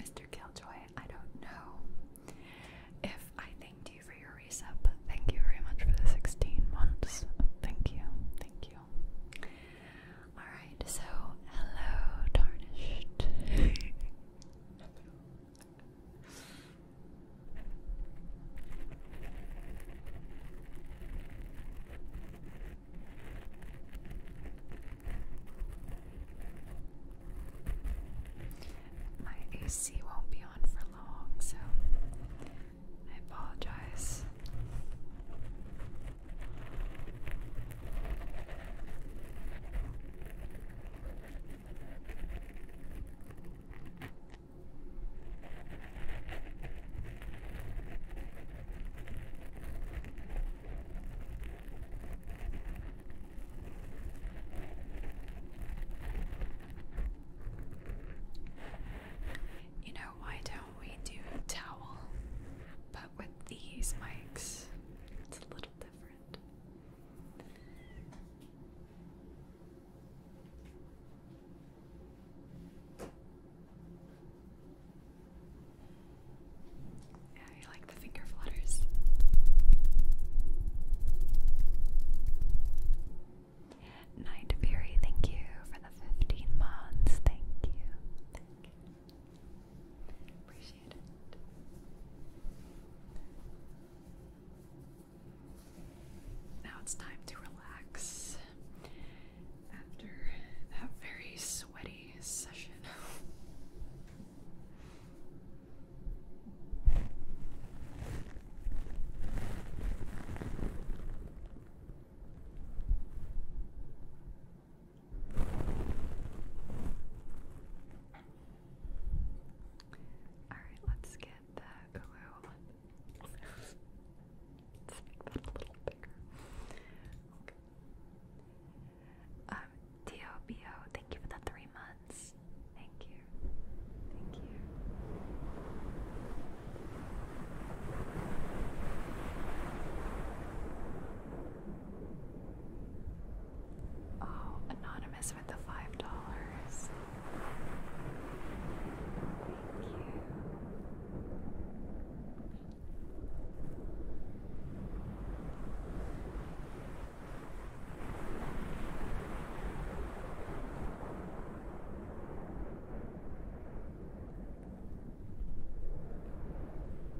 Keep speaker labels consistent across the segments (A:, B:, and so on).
A: Mr. Killjoy, I don't know if I thanked you for your resub, thank you very much for the 16 months. Thank you, thank you. Alright, so hello, Tarnished. My AC won't be on for long, so I apologize. You know, why don't we do towel? But with these mics, it's a little different. Yeah, you like the finger flutters. Night Fury, thank you for the 15 months. Thank you. Now it's time to relax after that very sweaty session. Alright, let's get the glue let's make that a little bigger. Um, DOBO, thank you for the three months. Thank you. Thank you. Oh, anonymous with the five dollars. Thank you.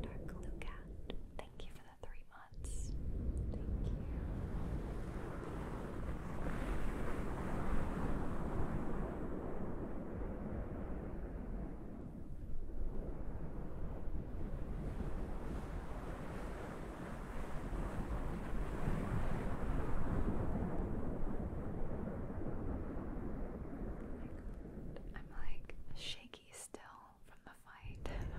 A: Dark Lucat, thank you for the three months. Thank you. Thank I'm like shaky still from the fight.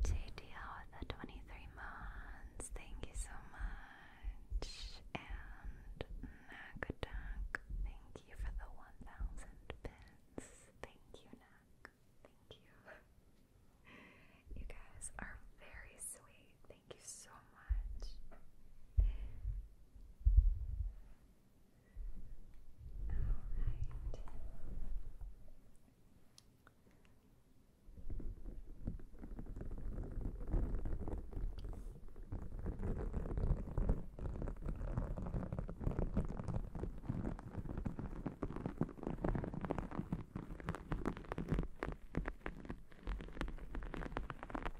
A: JDL the 23 months, thank you so much. And Nagaduck, thank you for the 1000 bits. Thank you, Nak. Thank you. You guys are very sweet. Thank you so much. All right.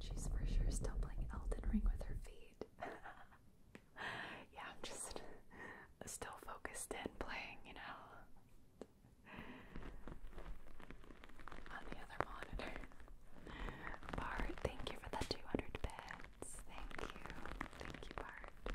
A: She's for sure still playing Elden Ring with her feet. yeah, I'm just still focused in playing, you know, on the other monitor. Bart, thank you for the 200 bits. Thank you. Thank you, Bart.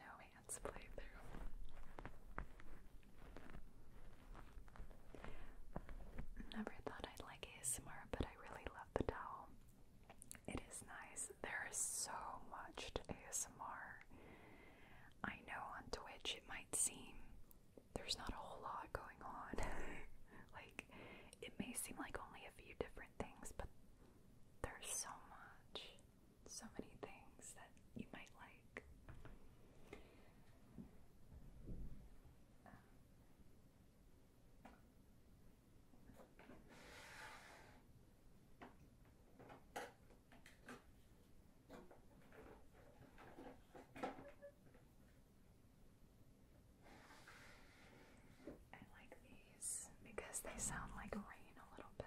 A: No hands playthrough. Never thought I'd like ASMR, but I really love the towel. It is nice. There is so much to ASMR. I know on Twitch it might seem there's not a whole lot going on. like, it may seem like only a few different things, but there's so much, so many things that you might like. I like these because they sound like rain a little bit.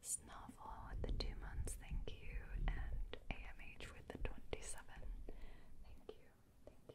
A: Snarfall with the two months, thank you, and AMH with the 27. Thank you, thank you.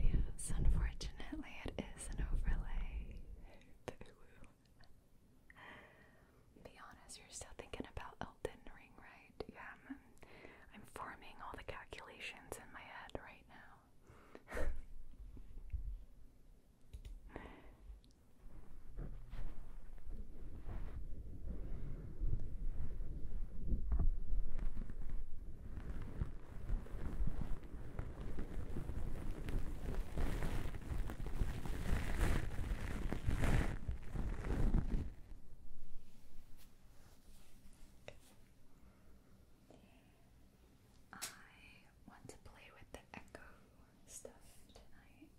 A: Yes, unfortunately, it is an overlay. Be honest, you're still thinking about Elden Ring, right? Yeah, I'm forming all the calculations in my head right now. I want to play with the echo stuff tonight.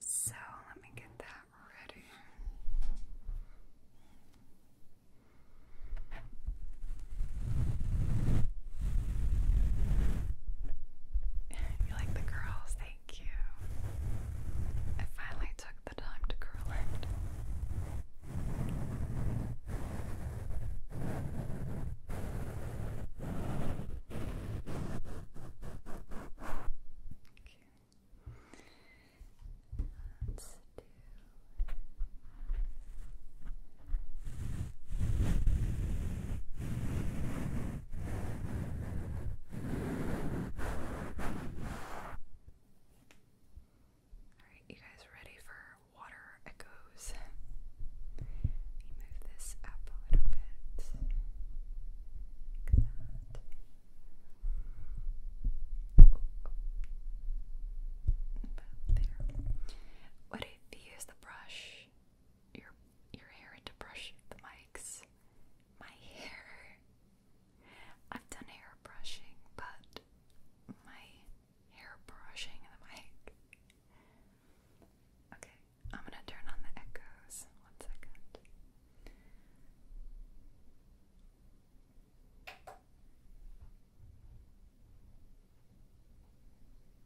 A: So let me get that ready you like the curls? Thank you. I finally took the time to curl it. Okay. Let's do Alright, you guys ready for water echoes? Let me move this up a little bit. Like that. Oh, oh. About there. What if you use the brush your your hair and brush the mics. My hair. I've done hair brushing, but my hair brushing the mic. Okay, I'm gonna turn on the echoes. One second.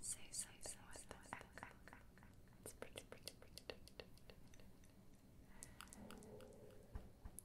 A: Say so so with the It's pretty, pretty, pretty, pretty. My stomach.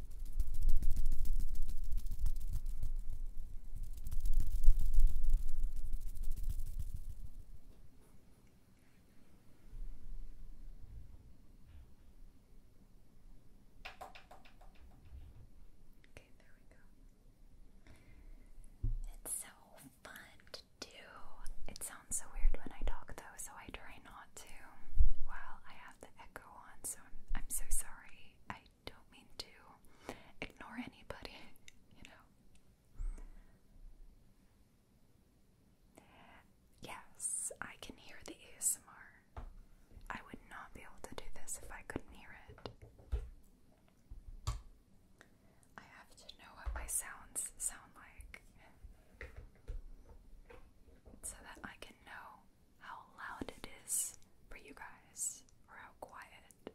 A: Okay, there we go. It's so fun to do. It sounds so weird when I talk though, so I try not to while I have the echo on, so I'm, I'm so sorry. I don't mean to ignore anybody, you know. Yes, I can hear the ASMR. I would not be able to do this if I couldn't hear it. I have to know what my sounds sound like so that I can know how loud it is for you guys or how quiet.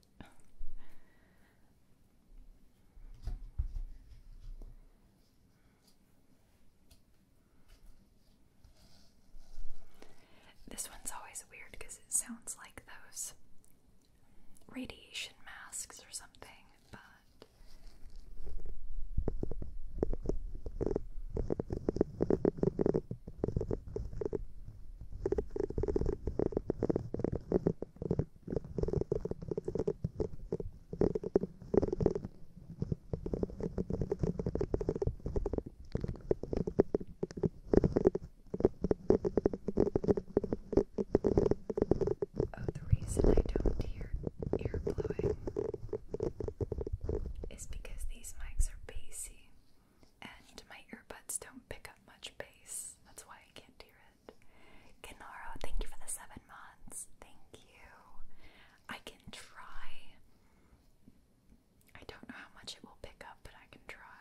A: This one's always weird because it sounds like those radiation masks or something, but Oh, the reason I don't hear ear blowing is because these mics are bassy and my earbuds don't pick up much bass. That's why I can't hear it. Kenaro, thank you for the seven months. Thank you. I can try. I don't know how much it will pick up, but I can try.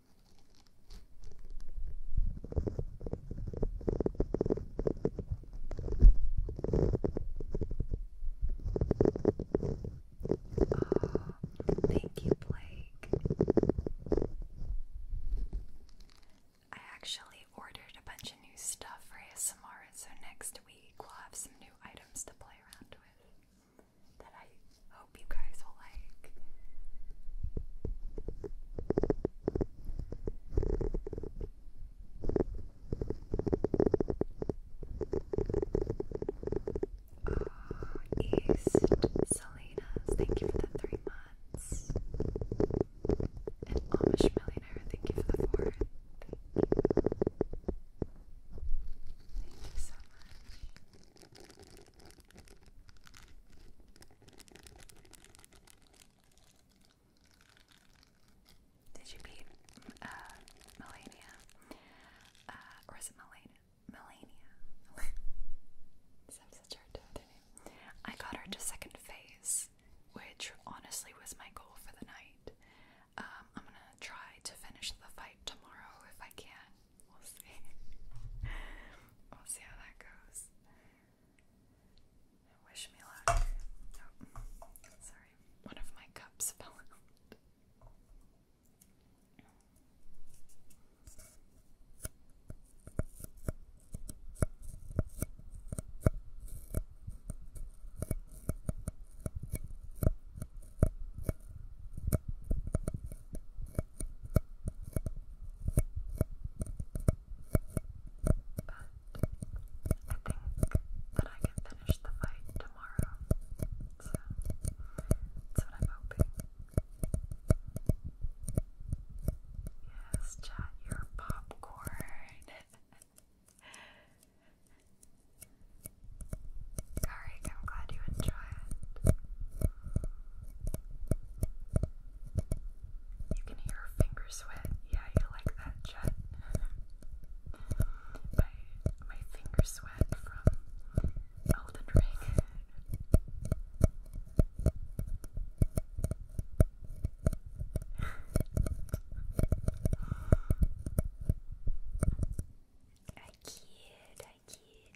A: Uh, thank you, Blake. I actually ordered a bunch of new stuff for ASMR, so next week we'll have some new items to play around with that I hope uh, East Salinas, thank you for the three months. And Amish Millionaire, thank you for the four. Thank you so much. Did you beat uh, Melania? Uh, it Melania? Melania. so I'm I got her to second phase, which honestly was my goal for the night. Um, I'm gonna try to finish the fight tomorrow if I can we'll see. we'll see how that goes. Wish me luck. sorry, one of my cups fell out. But I think that I can finish the fight tomorrow. So that's what I'm hoping. Yes, chat your popcorn. Karik, I'm glad you enjoy it. You can hear her finger sweat. Yeah, you like that, Jet. my my finger sweat from Elden I kid, I kid.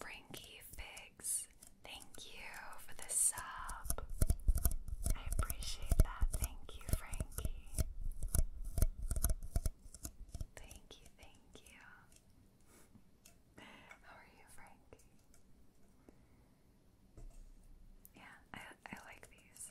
A: Frankie Figs. Thank you for the sub. I appreciate that. Thank you, Frankie. Thank you, thank you. How are you, Frankie? Yeah, I I like these.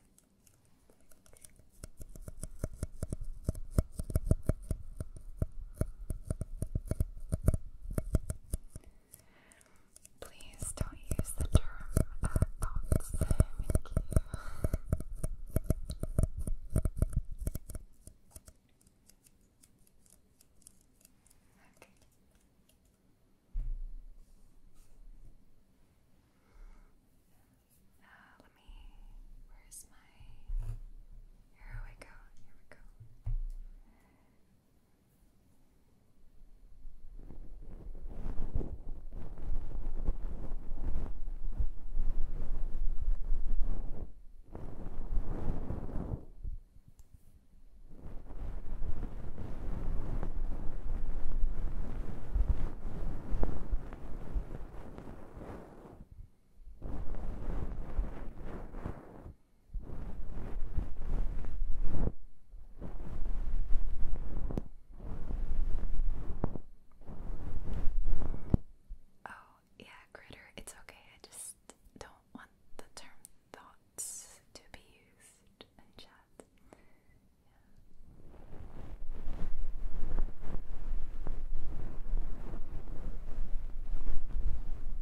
A: Please don't use the term uh, thoughts. Thank you. let me. Where's my here we go, here we go. Good. Oh, yeah, critter, it's okay. I just don't want the term thoughts to be used in chat.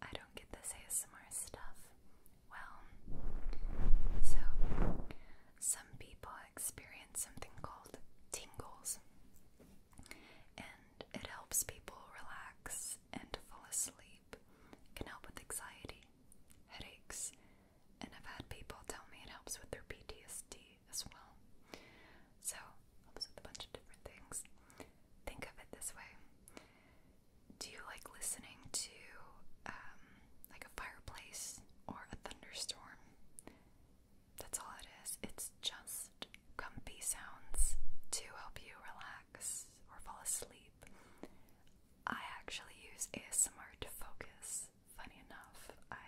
A: I don't get this ASMR stuff well, so some people experience something called tingles, and it helps people relax and fall asleep. can help with anxiety, headaches, and I've had people tell me it helps with their PTSD as well. So, helps with a bunch of different things. Think of it this way. Do you like listening to um, like a fireplace or a thunderstorm. That's all it is. It's just comfy sounds to help you relax or fall asleep. I actually use ASMR to focus. Funny enough, I.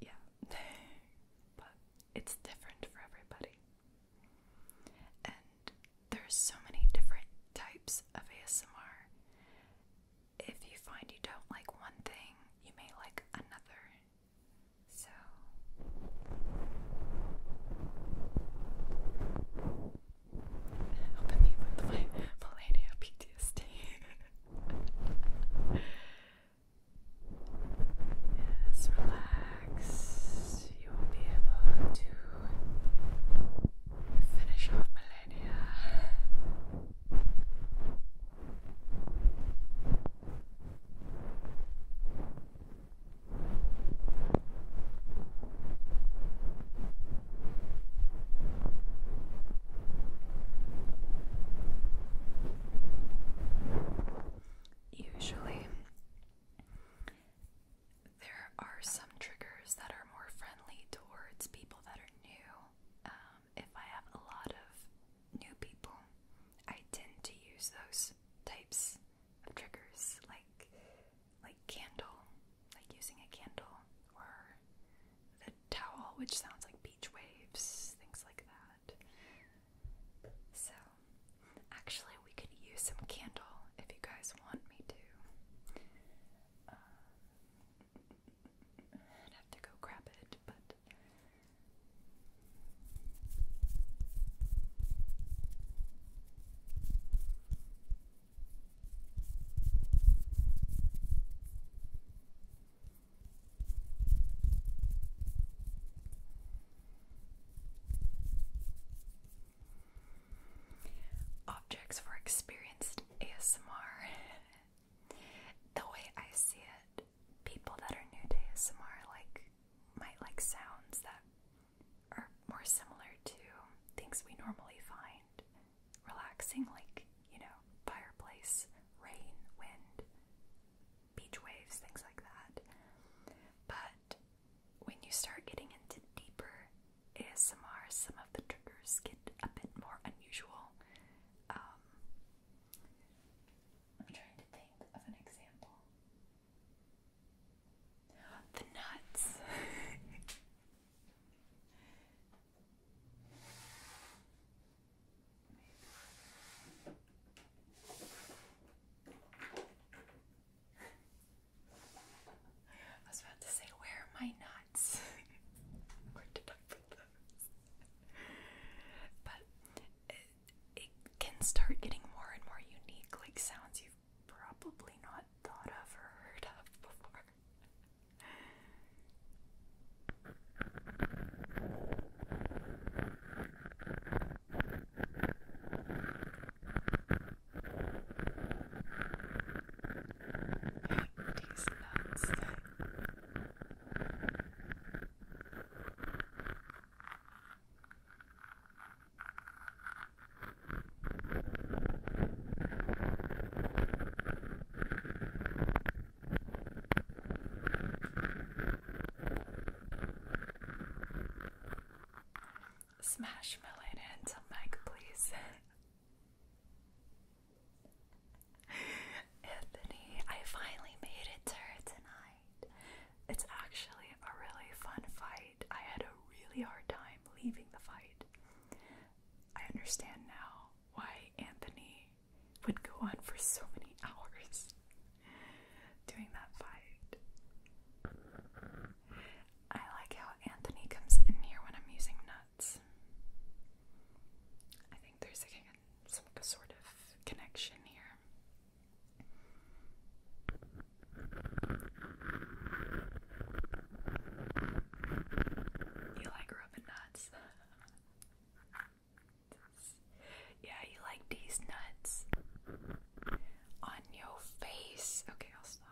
A: Yeah. but it's different for everybody. And there's so many different types of ASMR if you find you don't like one thing, you may like another. So helping me with my millennial PTSD. yes, relax. You will be able to finish off millennial idea. Usually, there are some triggers that are more friendly towards people that are new, um, if I have a lot of new people, I tend to use those types of triggers, like like candle, like using a candle, or the towel, which sounds like beach waves, things like that. So, actually, we could use some candle if you guys want me to. Um, I'd have to go grab it, but objects for experienced ASMR. the way I see it, people that are new to ASMR like might like sounds that are more similar to things we normally find relaxing, like, you know, fireplace, rain, wind, beach waves, things like that. But when you start getting into deeper ASMR, some of the triggers get a bit more unusual. Um, I'm trying to think of an example. The nuts. I was about to say, where are my nuts? where did I put those? but it can start getting more and more unique, like sounds you've probably not thought of or heard of before these nuts thing. Smash Melon into mic, please. Anthony, I finally made it to her tonight. It's actually a really fun fight. I had a really hard time leaving the fight. I understand now why Anthony would go on for so many hours doing that fight. I like how Anthony comes in here when I'm using nuts. I think there's again some sort of connection here. You like rubbing nuts? yeah, you like these nuts on your face. Okay, I'll stop.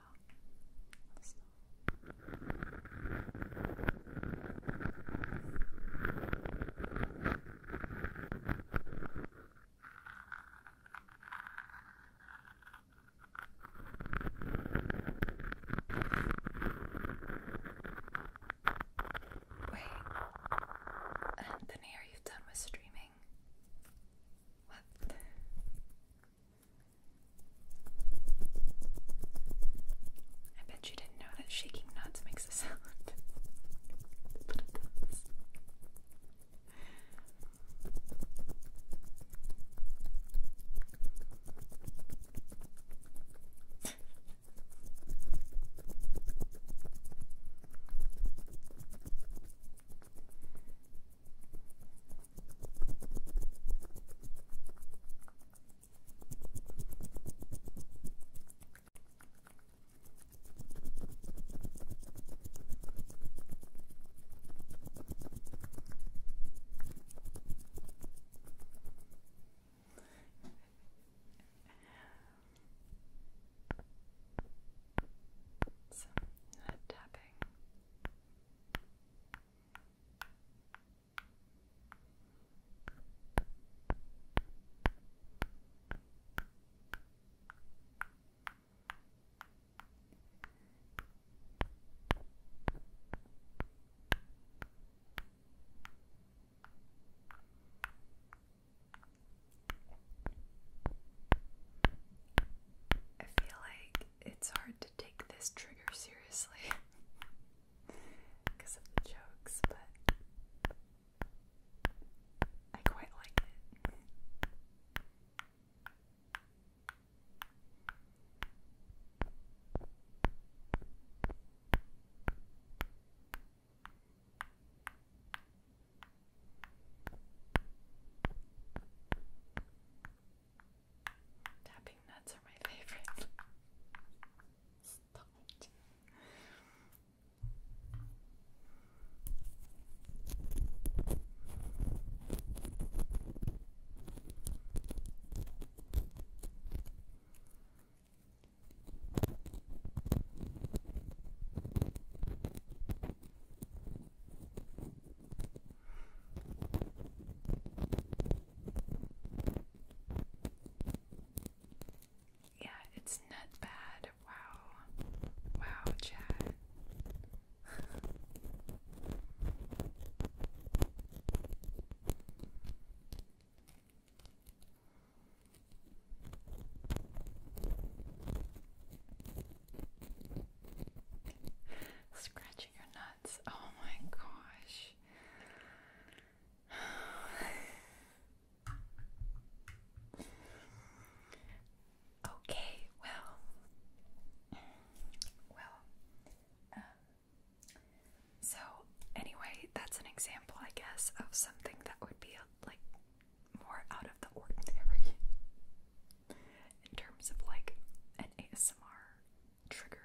A: Wait, Anthony, are you done with streaming? What? I bet you didn't know that shaking nuts makes a sound. but it does. Some head tapping. I feel like it's hard to take this trigger seriously. because of the jokes, but I quite like it. Tapping nuts are my favorite. Stop yeah, it's not bad. Wow. Wow, Chad. Scratching your nuts. Oh my gosh okay, well, well, um, so anyway, that's an example, I guess, of something that would be like more out of the ordinary in terms of like an ASMR trigger.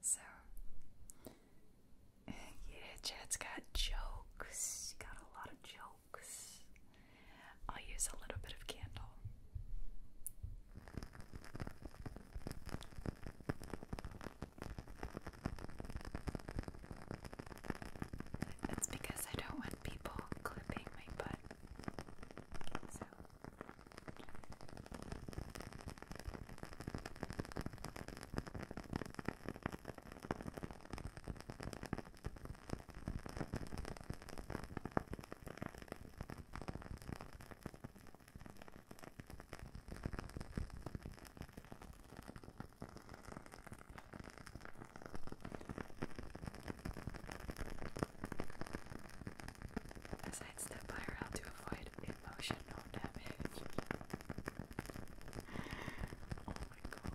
A: So, yeah, Chad's got jokes. Got a lot of jokes. I'll use a little bit of candle. That's because I don't want people clipping my butt. So. A side step by rail to avoid emotional oh, damage. oh my god.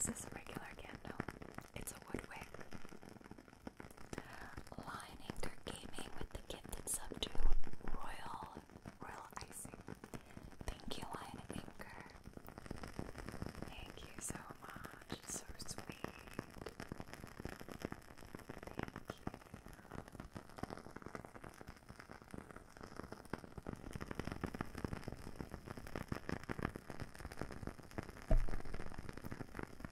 A: Is this a regular candle? It's a wood wick. Lining their gaming with the gifted sub to Royal Royal Icing. Thank you, Lion Anchor. Thank you so much. So sweet. Thank you.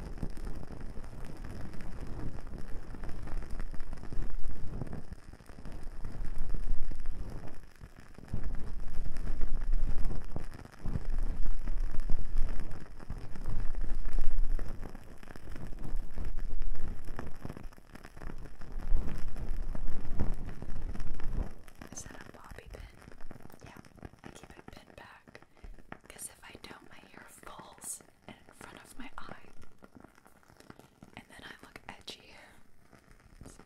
A: Is that a bobby pin? Yeah, I keep it pinned back because if I don't, my hair falls and in front of my eye. And then I look edgy. So.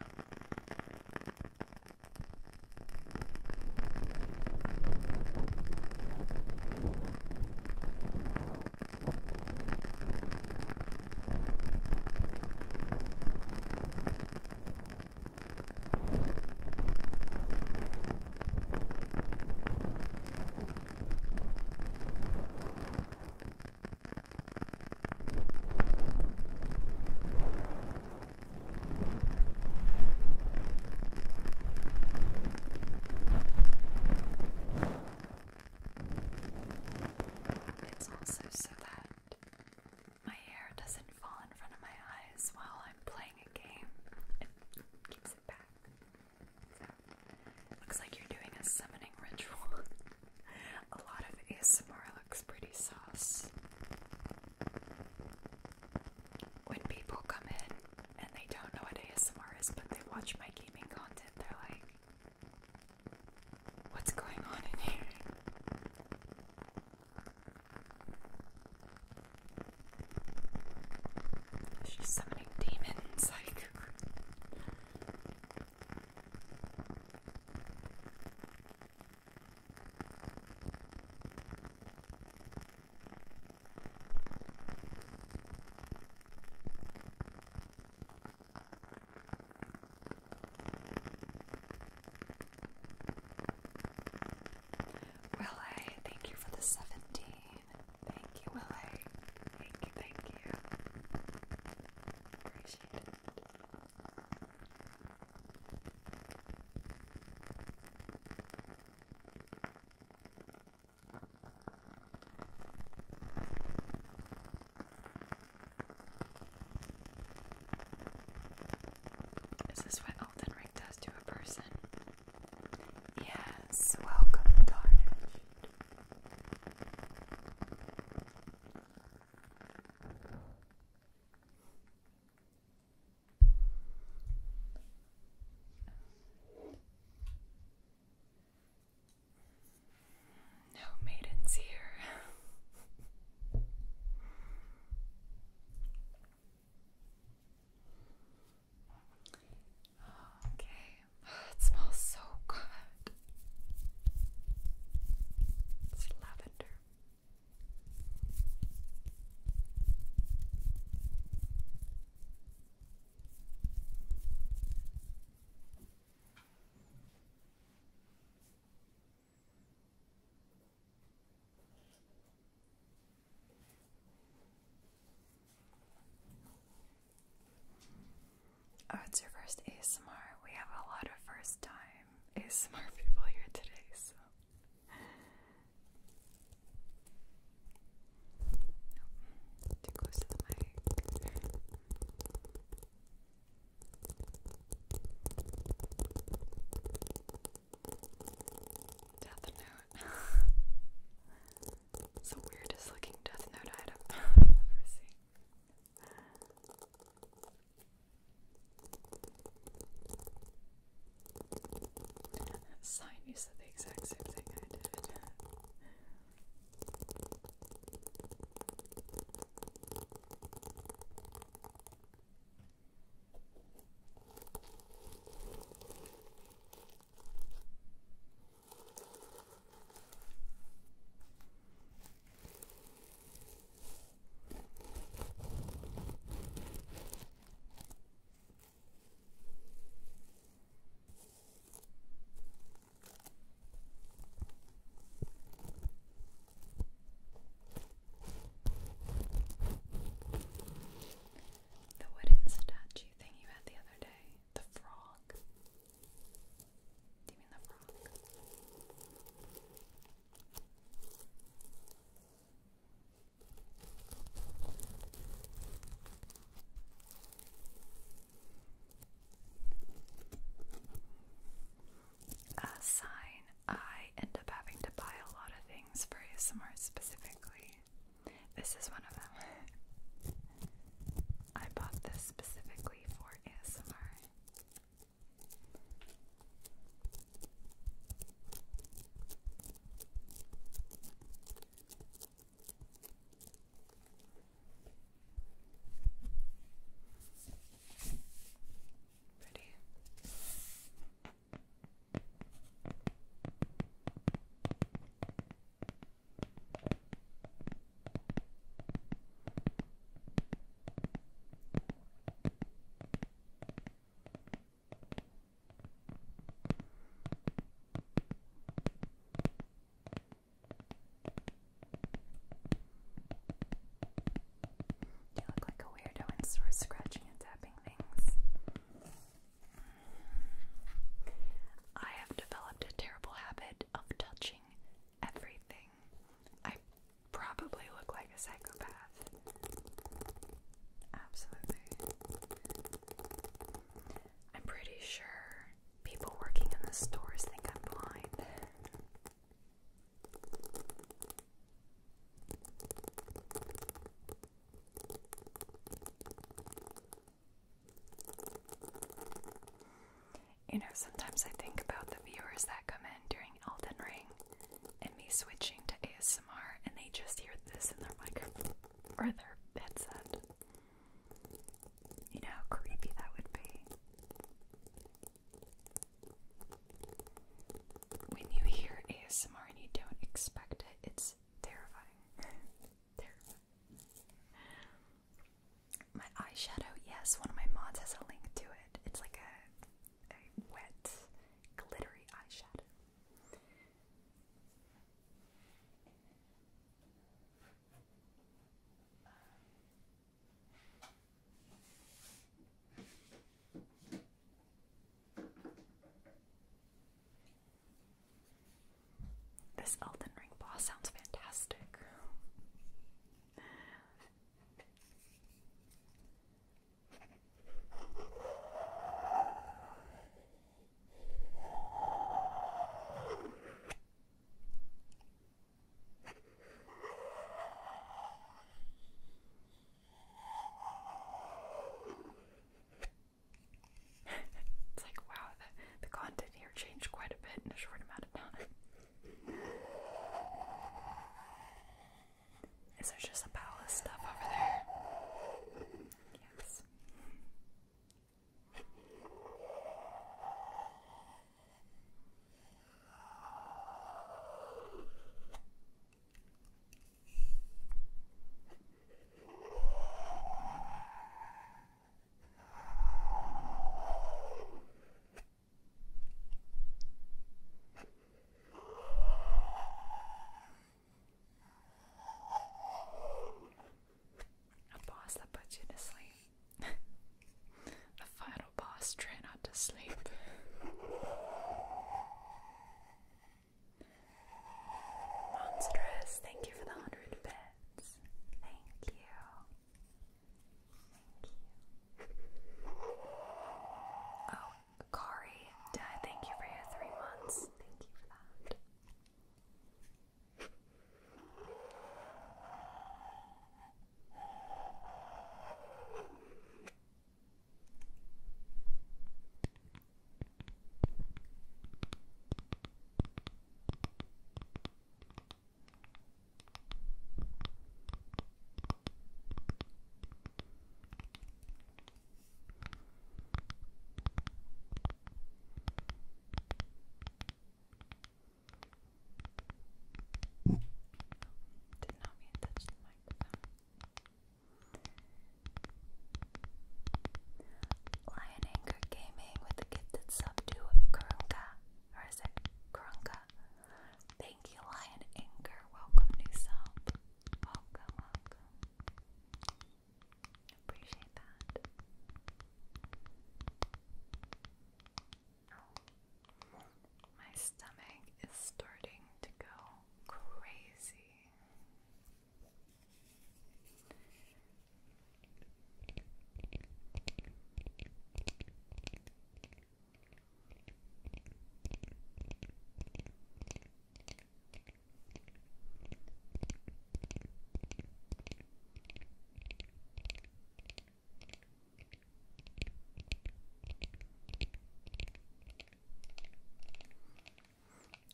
A: It's also so that my hair doesn't fall in front of my eyes while I'm playing a game looks like you're doing a summoning ritual. a lot of ASMR looks pretty sauce. When people come in and they don't know what ASMR is, but they watch my gaming content, they're like, What's going on in here? She's summoning demons, like. Well, I thank you for the seventy. Thank you, Willie. Thank you, thank you. Appreciate it. Is this what Elden Ring does to a person? Yes, welcome, Tarnished. No maidens here. Okay, it smells so good. It's lavender. Oh, it's your first ASMR. We have a lot of first time ASMR people here today, so. too close to the mic. Death note. It's the weirdest looking Death Note item I've ever seen. Sign, you said the exact same thing I did. The wooden statue thing you had the other day. The frog. Do you mean the frog? A sign I end up having to buy a lot of things for ASMR specifically. This is one of them. I bought this specifically for ASMR. Pretty. You look like a weirdo and sort scratching and tapping things. I have developed a terrible habit of touching everything. I probably look like a psychopath. Absolutely. I'm pretty sure people working in the stores think I'm blind. You know, sometimes I think about the viewers that come in during Elden Ring and me switching to ASMR and they just hear this in their microphone or their bed's headset. You know creepy that would be. When you hear ASMR and you don't expect it, it's terrifying. My eyeshadow, yes, one of my mods has a link to it. It's like a wet, glittery eyeshadow. This Elden Ring boss sounds fantastic it's like, wow, the, content here changed quite a bit in a short amount of time. Is there just a pile of stuff over there? Yes. A boss that puts you to sleep. the final boss, try not to sleep. Monstrous, thank you for the hundred bits thank you. Thank you. Oh, Corey, thank you for your three months. Thank you for that. Did not mean to touch the microphone. Lion anger Gaming with the kid sub to Kurunka. Or is it Kurunka? Thank you, Lion Anchor. Welcome, new sub. Welcome, welcome. Appreciate that. my stomach is starting to go crazy.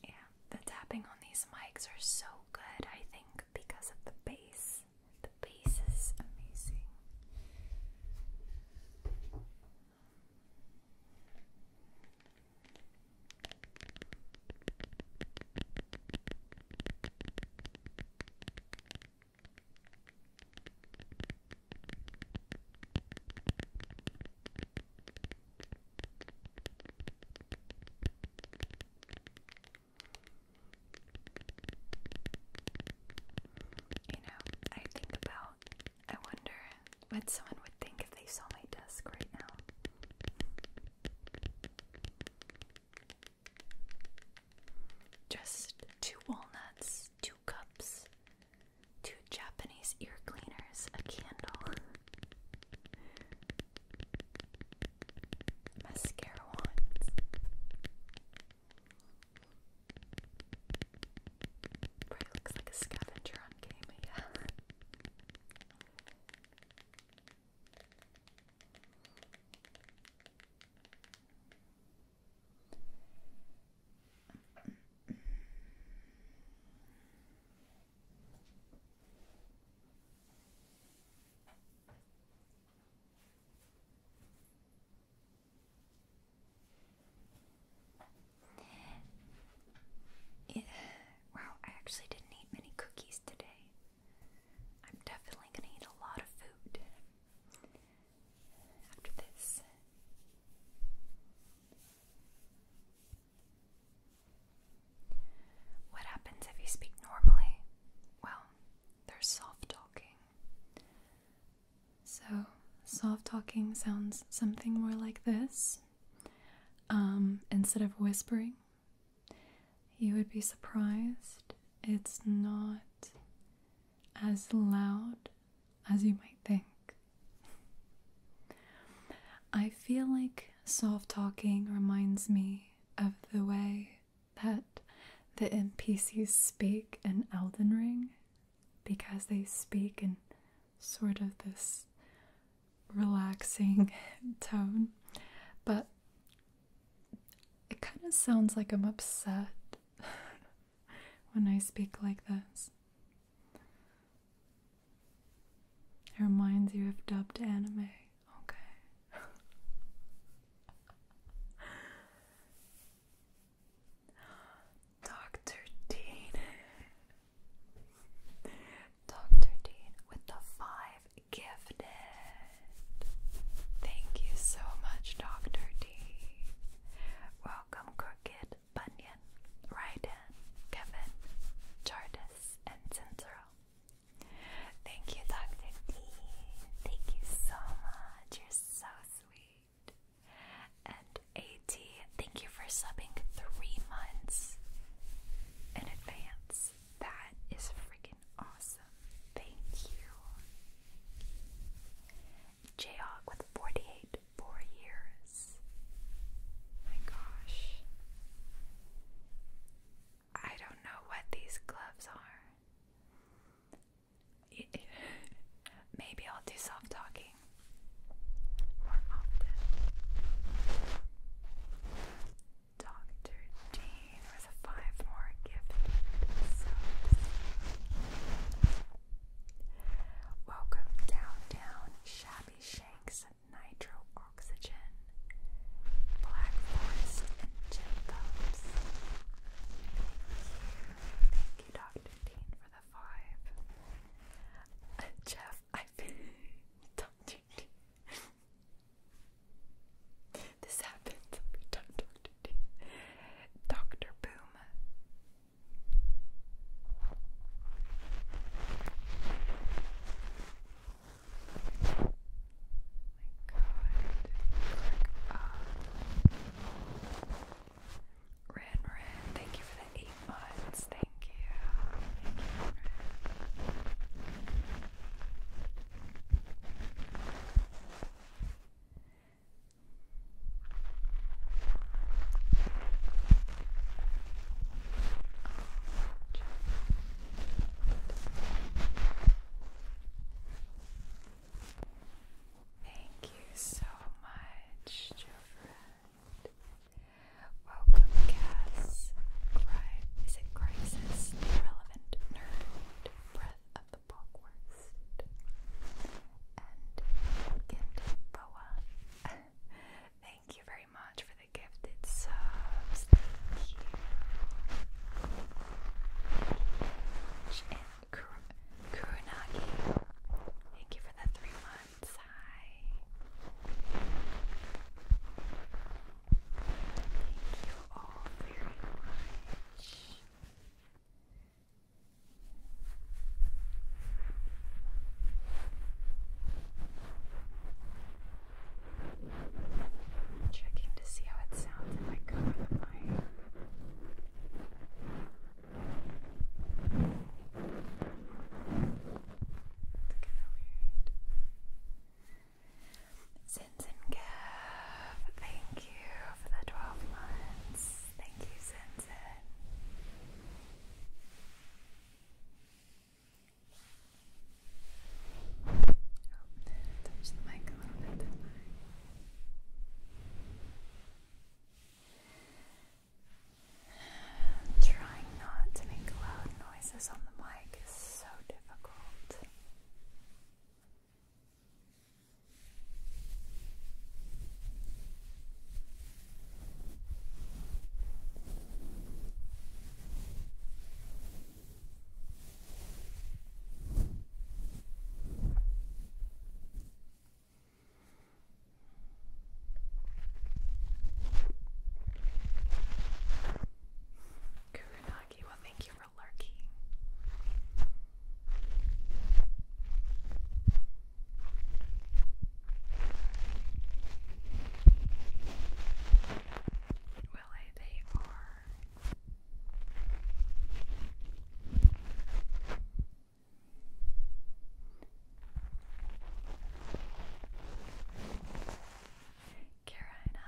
A: Yeah, the tapping on these mics are so good. I think because of the bass. The bass is amazing. You know, I think about, I wonder what someone would think if they saw my desk right now. Just two walnuts, two cups, two Japanese ear cleaners, a candle mascara wands. Probably looks like a scavenger on game, wow, I actually didn't eat many cookies today. I'm definitely going to eat a lot of food after this. What happens if you speak normally? Well, there's soft talking. So, soft talking sounds something more like this. Um, instead of whispering, you would be surprised. It's not as loud as you might think. I feel like soft talking reminds me of the way that the NPCs speak in Elden Ring because they speak in sort of this relaxing tone, but it kind of sounds like I'm upset when I speak like this. It reminds you of dubbed anime okay. Dr. Dean. Dr. Dean with the five gifted. Thank you so much, Dr. D. Welcome, Crooked Bunyan, Ryden, Kevin, Jardis, and Censor. Thank you, Dr. D. Thank you so much. You're so sweet. And AT, thank you for subbing three months in advance. That is freaking awesome. Thank you. Jayhawk with 48 four years. My gosh. I don't know what these gloves are. Maybe I'll do self talking more often. Dr. Dean was five more gift. Welcome downtown Shabby Shanks and Nitro Oxygen, Black Forest, and Jim Thank you, Dr. Dean, for the five. Uh, Jeff, I Dr. Dean. This happens every time, Dr. Dean. Dr. Boom go ahead and click up. Rin Rin, thank you for the eight months. Thank you. Thank you, Rin Oh, Thank you so much, dear friend. Welcome, Cass. is it crisis? Irrelevant nerd. Breath of the Bogwurst. And Gifted Boa. Thank you very much for the gifted subs. Thank you and Thank you for the three months. Hi. Thank you all very much. Checking to see how it sounds if I cover mic. It's kind of weird. Sins and thank you for the 12 months. Thank you, Sinsin. Trying not to make loud noises on the mic is so difficult. Kurenagi will thank you for lurking. Well, eh, they are Kara and I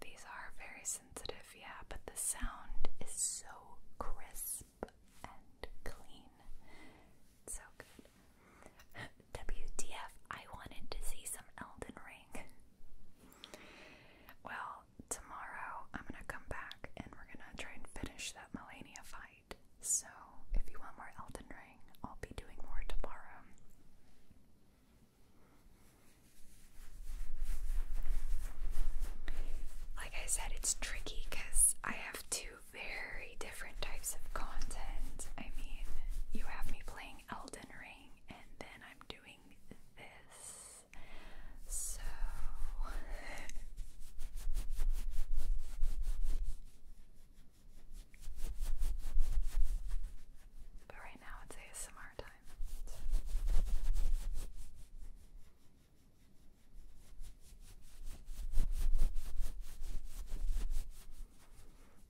A: these are very sensitive, yeah, but the sound is so crisp and clean. so good. WTF, I wanted to see some Elden Ring. well, tomorrow I'm gonna come back and we're gonna try and finish that Melania fight. So, if you want more Elden Ring, I'll be doing more tomorrow. Like I said, it's tricky because I have two very different types of content. I mean, you have me playing Elden Ring, and then I'm doing this. So. but right now it's ASMR time.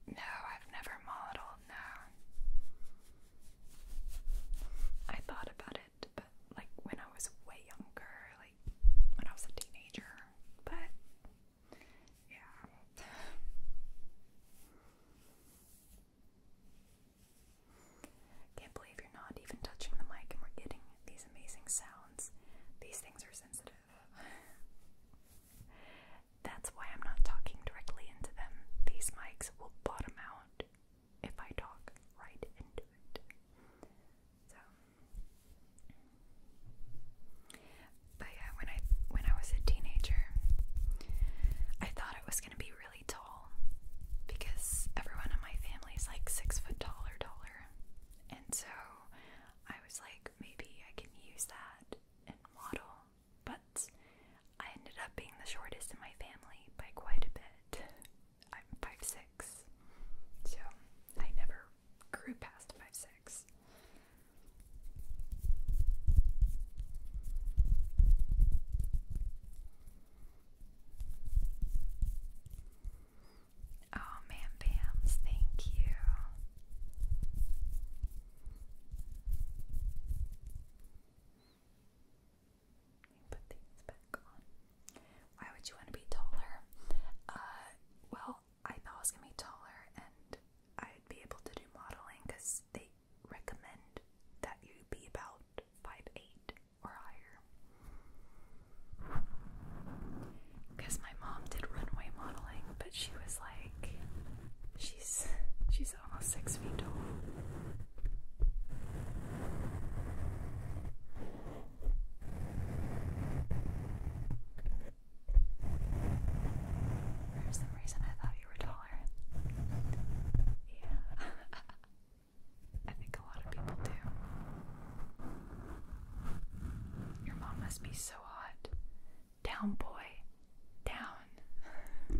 A: No, I've never modeled, no. I thought about it, but like when I was way younger, like when I was a teenager, but yeah. Can't believe you're not even touching the mic and we're getting these amazing sounds. These things are sensitive. That's why I'm not talking directly into them. These mics will bottom out if I talk right into it. So But yeah, when I when I was a teenager, I thought I was gonna be really tall because everyone in my family is like six foot tall or taller. And so I was like, maybe I can use that and model but I ended up being the shortest in my family by quite a bit. I'm 5'6, so I never grew past 5'6. Oh, man, Bams, thank you. Put these back on. Why would you want to be taller? Uh, well, I thought I was gonna be taller, and I'd be able to do modeling because they recommend that you be about five eight or higher. Because my mom did runway modeling, but she was like, she's almost six feet tall. For some reason, I thought you were taller. Yeah, I think a lot of people do. Your mom must be so hot. Down, boy. Down. I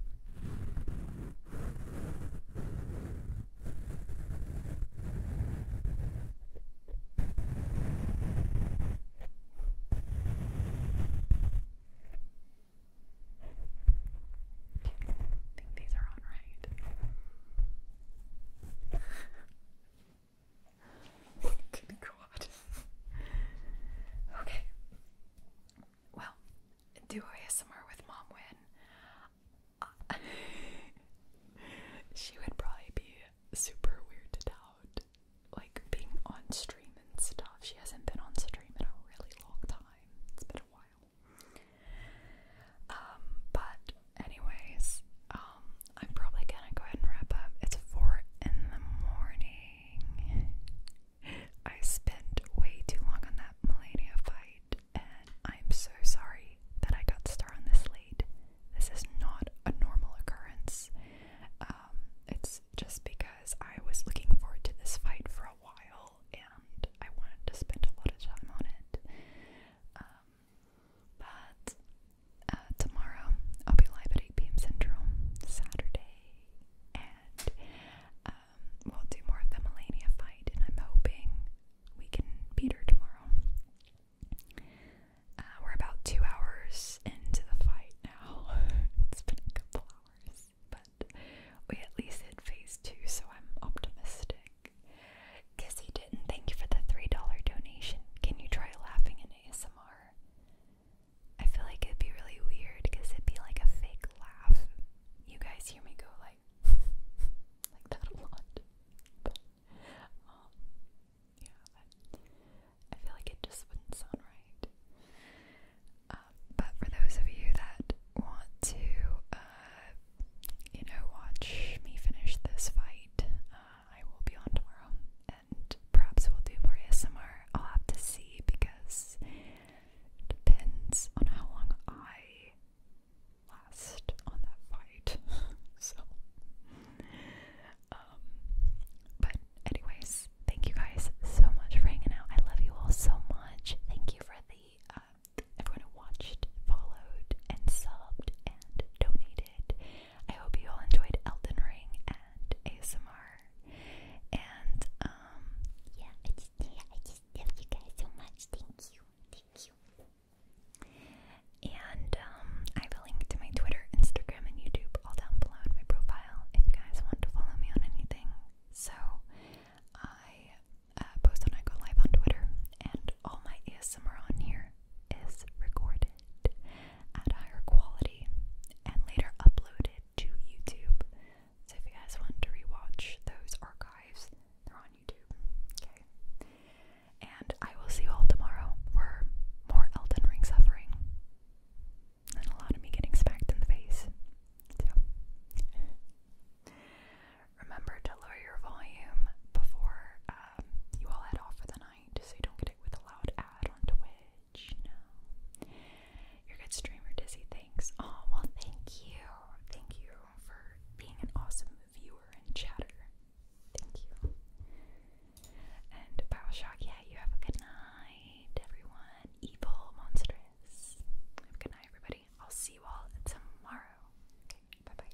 A: think these are on right. I'm gonna okay. Well, do ASMR with Mom Win. Uh, she would probably be super weirded out. Like being on stream and stuff. She hasn't been on stream in a really long time. It's been a while. Um, but anyways, um, I'm probably gonna go ahead and wrap up. It's four in the morning. I spent way too long on that Melania fight, and I'm so sorry that I got Star on this late. This is not a normal occurrence. Um, it's just because I was looking forward to this fight for a while, and I wanted to spend a lot of time on it. Um, but uh, tomorrow I'll be live at 8 p.m. Central, Saturday, um, we'll do more of the Melania fight, and I'm hoping we can beat her tomorrow. Uh, we're about two hours into the fight now. it's been a couple hours, but we at least hit phase two, so I'm optimistic. Kissy didn't. Thank you for the three dollar donation. Can you try laughing in ASMR? I feel like it'd be really weird because it'd be like a fake laugh. You guys hear me go like like that a lot. Um, yeah, I feel like it just wouldn't sound right. Um, but for those of you that want to uh, you know, watch me finish this fight, uh, I will be on tomorrow perhaps we'll do more ASMR. I'll have to see because it depends on how long I last on that fight. so, um, but anyways, thank you guys so much for hanging out. I love you all so much. Thank you for the uh, everyone who watched, followed, and subbed and donated. I hope you all enjoyed Elden Ring and ASMR. And um, yeah, I just yeah, I just love you guys so much. Thank you, thank you. And um, I have a link to my Twitter, Instagram, and YouTube all down below in my profile if you guys want to follow me on anything. So I uh, post when I go live on Twitter, and all my ASMR on here is recorded at higher quality and later uploaded to YouTube. So if you guys want to rewatch those archives, they're on YouTube. Okay. And I will see you all tomorrow for more Elden Ring suffering. And a lot of me getting smacked in the face. So remember to lower your volume before um, you all head off for the night so you don't get it with a loud ad on Twitch you're a good streamer, Dizzy, thanks. Oh, well, thank you. Thank you for being an awesome viewer and chatter. Thank you. And Bioshock, yeah, you have a good night, everyone. Evil monsters. Have a good night, everybody. I'll see you all tomorrow. Okay, bye bye.